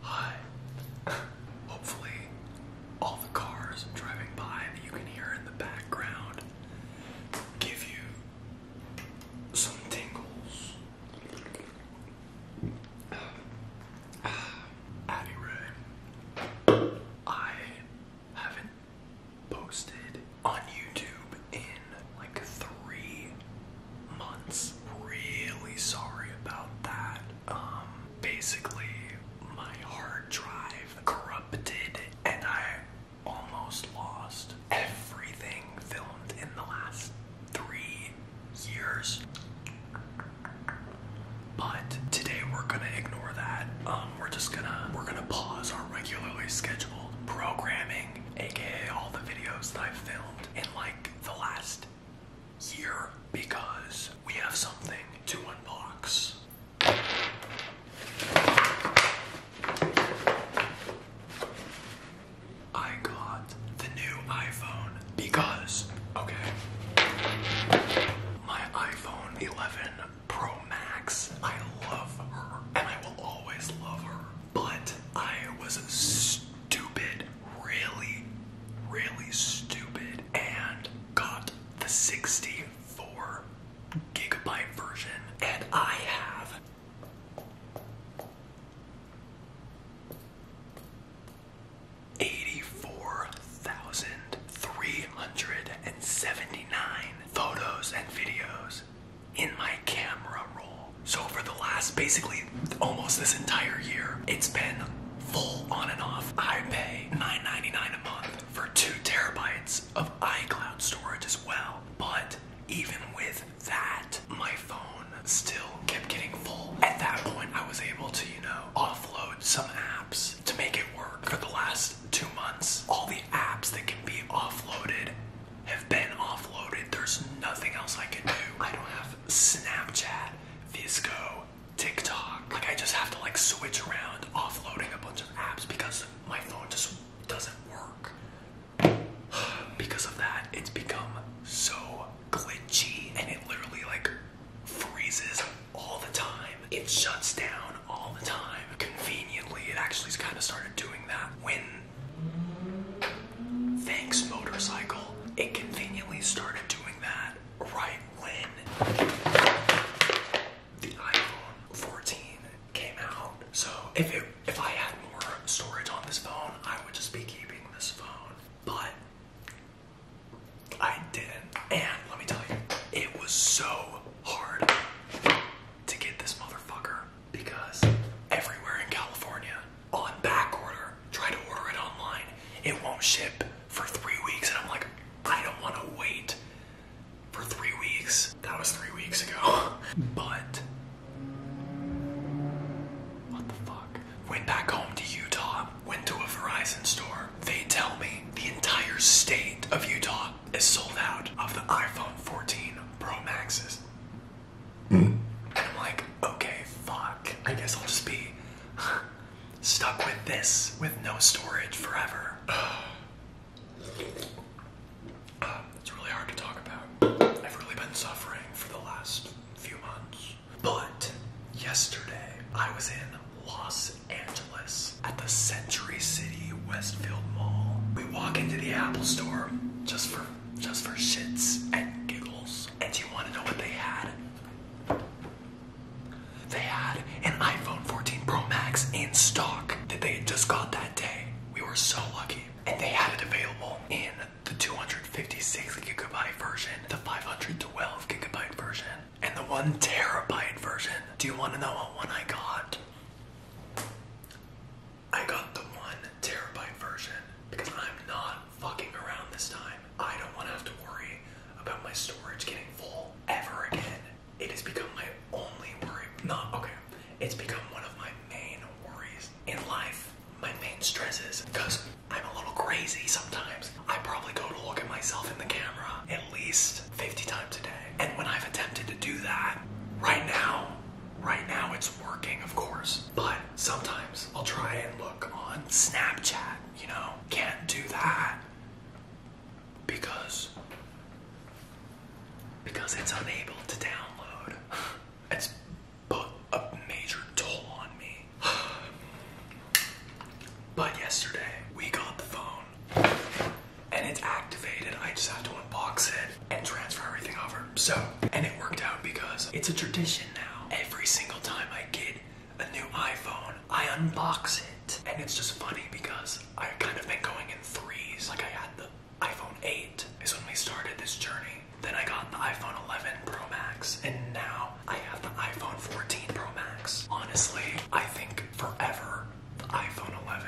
Hi. Hopefully, all the cars driving by that you can hear in the background give you some tingles. anyway, I haven't posted on YouTube in like three months. Really sorry about that. Um, basically, my hard drive corrupted and I almost lost everything filmed in the last three years. But today we're gonna ignore that. Um, we're just gonna we're gonna pause our regularly scheduled programming, aka all the videos that I've filmed in like the last year, because we have something to unbox. I got the new iPhone because, okay, my iPhone 11 Pro Max. I love her and I will always love her. But I was stupid, really, really stupid, and got the 64 gigabyte version. And I have 84,379 photos and videos in my camera roll. So for the last basically almost this entire year, it's been full on and off. I pay 9.99 a month for two terabytes of iCloud storage as well. But even with that, my phone still kept getting full. At that point, I was able to, you know, offload some apps to make it work. For the last two months, all the apps that can be offloaded have been offloaded. There's nothing else I can do. I don't have Snapchat, Visco, TikTok. Like I just have to like switch around offloading a bunch of apps because my phone just doesn't work. because of that, it's become so glitchy and it literally like freezes all the time. It shuts down all the time. Conveniently, it actually kind of started doing that when Thanks Motorcycle, it conveniently started doing that right when the iPhone 14 came out. So if it, if I had more storage on this phone, I would just be keeping this phone. But I didn't. And let me tell you, it was so hard to get this motherfucker because everywhere in California, on back order, try to order it online, it won't ship for three weeks. And I'm like, I don't want to wait for three weeks. That was three weeks ago. But. What the fuck? Went back home to Utah, went to a Verizon store. They tell me the entire state of Utah is sold out of the iPhone 14 Pro Maxes. Hmm? And I'm like, okay, fuck. I guess I'll just be stuck with this with no storage forever. it's really hard to talk about. I've really been suffering for the last few months. But yesterday, I was in Los Angeles at the Century City Westfield Mall. We walk into the Apple Store just for just for shits and giggles. And you want to know what they had? They had an iPhone 14 Pro Max in stock that they had just got that day. We were so lucky. And they had it available in the 200 56 gigabyte version, the 512 gigabyte version, and the one terabyte version. Do you want to know what one I got? I got the one terabyte version because I'm not fucking around this time. I don't want to have to worry about my storage getting full ever again. It has become my only worry. Not okay. It's become one of my main worries in life. My main stress is because I'm a little crazy sometimes. I probably go to look at myself in the camera at least 50 times a day. And when I've attempted to do that, right now, right now it's working, of course. But sometimes I'll try and look on Snapchat, you know? Can't do that because because it's unable to download. It's put a major toll on me. but yesterday, we got the phone and it's activated. I just have to unbox it and transfer everything over. So, and it worked out because it's a tradition now. Every single time I get a new iPhone, I unbox it. And it's just funny because I've kind of been going in threes. Like I had the iPhone 8 is when we started this journey. Then I got the iPhone 11 Pro Max. And now I have the iPhone 14 Pro Max. Honestly, I think forever the iPhone 11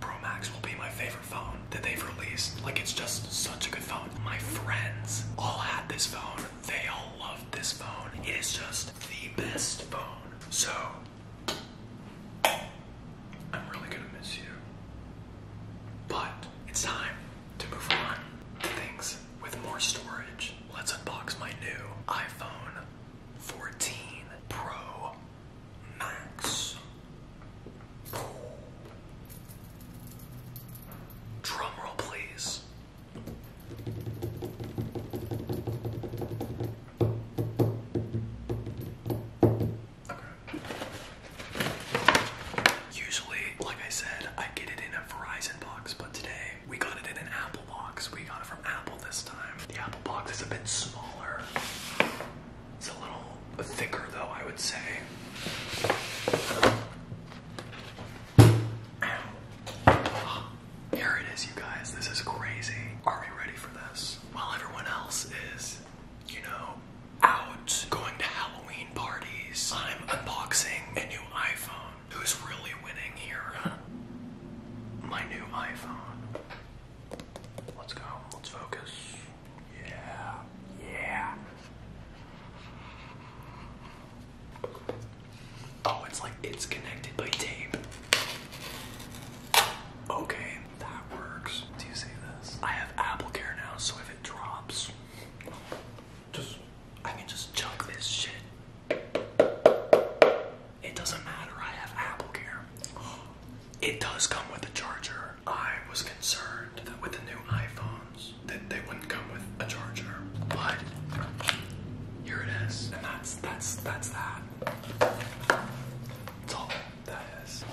Pro Max will be my favorite phone that they've released. Like, it's just such a good phone. My friends all had this phone. They all loved this phone. It is just the best phone. So, I'm really gonna miss you. But it's time to move on to things with more storage. Let's unbox my new iPhone 14 Pro Max. Drumroll, please. Usually, like I said, I get it in a Verizon box, but today we got it in an Apple box. We got it from Apple this time. The Apple box is a bit smaller. It's a little thicker though, I would say. Here it is, you guys. This is crazy. Are we ready for this? While everyone else is, you know, out going to Halloween parties. I'm unboxing a new iPhone. Who's really winning here? My new iPhone. Let's go. Let's focus. Yeah. Yeah. Oh, it's like it's connected by tape. Okay, that works. Do you see this? I have Apple Care now, so if it drops, just, I can just chuck this shit. It doesn't matter, I have Apple AppleCare. It does come with a charger. I was concerned that with the new iPhones that they wouldn't come with a charger, but here it is. And that's, that's, that's that. That's all that is.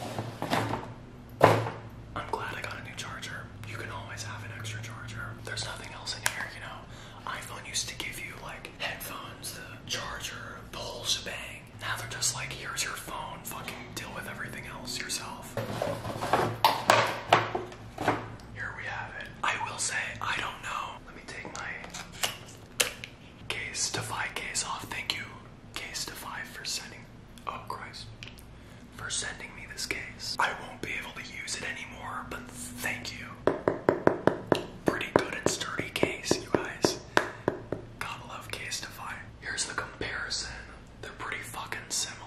I'm glad I got a new charger. You can always have an extra charger. There's nothing else in here, you know. iPhone used to give you like headphones, the charger, the whole shebang. Now they're just like, here's your phone, fucking deal with everything else yourself. Here we have it. I will say, I don't know. Let me take my case, Defy case off. Thank you, Case Defy, for sending. Oh, Christ for sending me this case. I won't be able to use it anymore, but thank you. Pretty good and sturdy case, you guys. Gotta love Case Here's the comparison. They're pretty fucking similar.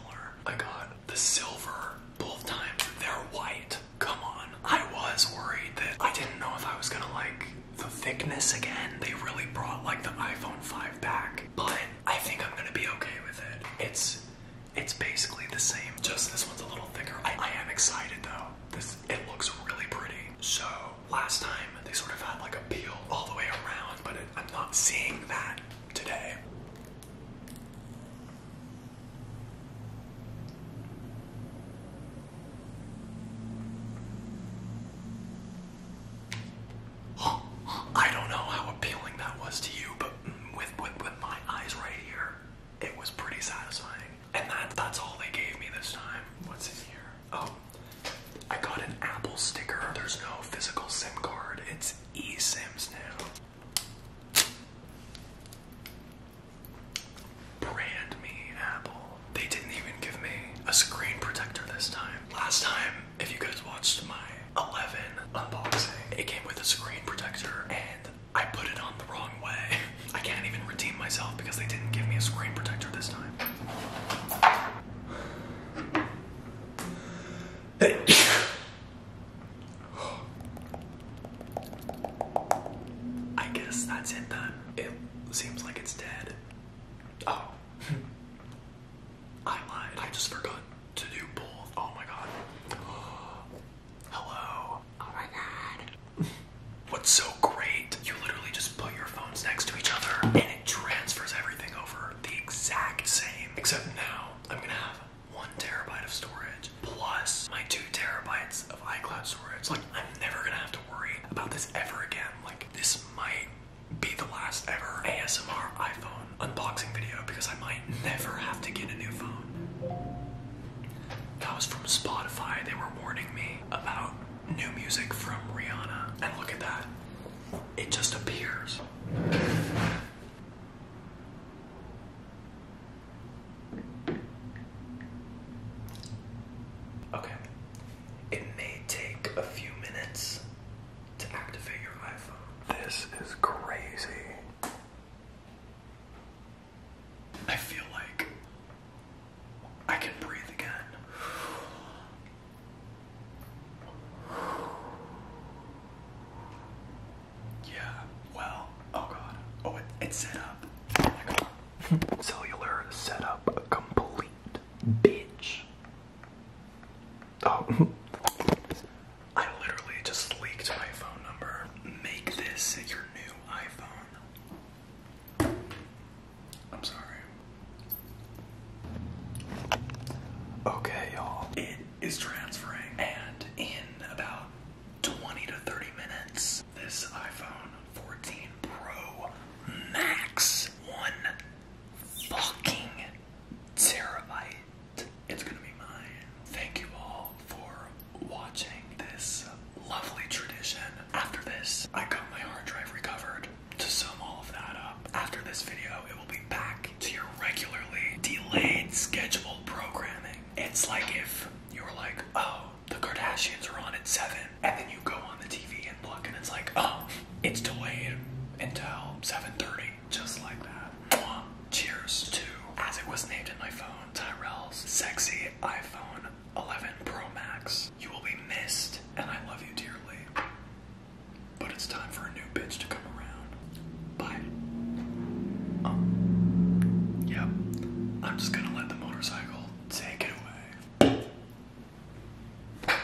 I got the silver both times. They're white. Come on. I was worried that I didn't know if I was gonna like the thickness again. They really brought like the iPhone 5 back, but I think I'm gonna be okay with it. It's it's basically the same. Just this one's a little thicker. I, am excited though. This it looks really pretty. So last time they sort of had like a peel all the way around, but I'm not seeing that today. I don't know how appealing that was to you, but with, with, my eyes right here, it was pretty satisfying. And that, that's all they gave me this time. What's in here? Oh, I got an Apple sticker. There's no physical SIM card. It's eSIMs now. Brand me Apple. They didn't even give me a screen protector this time. Last time, if you guys watched my 11 unboxing, it came with a screen protector and I put it on the wrong way. I can't even redeem myself because they didn't give me a screen protector this time. I guess that's it then. It seems like it's dead. Oh. I lied. I just forgot to do both. Oh my god. Hello. Oh my god. What's so great? You literally just put your phones next to each other and it transfers everything over the exact same. Except now I'm gonna have one terabyte of storage plus my two terabytes of iCloud storage. Like I'm never gonna have to worry about this ever again. Like this might be the last ever ASMR iPhone unboxing video because I might never have to get a new phone. That was from Spotify. They were warning me about new music from Rihanna. And look at that. It just appears. Okay. It may take a few minutes to activate your iPhone. This is crazy. I feel like I can breathe again. Yeah, well, oh god. Oh, it's set up. Cellular setup complete. Bitch. Oh. I literally just leaked my phone number. Make this your new iPhone. I'm sorry. Okay, y'all. It is transferring, and in about 20 to 30 minutes, this iPhone 14 Pro Max 1 fucking terabyte. It's gonna be mine. Thank you all for watching this lovely tradition. After this, I got my hard drive recovered to sum all of that up. After this video, it will be back to your regularly delayed scheduled programming. It's like if you were like, oh, the Kardashians are on at 7, and then you go on the TV and look, and it's like, oh, it's delayed until 7.30, just like that. Cheers to, as it was named in my phone, Tyrell's sexy iPhone 11 Pro Max. You will be missed, and I love you dearly. But it's time for a new bitch to come around. Bye. Um, yep. I'm just gonna let the motorcycle take it away.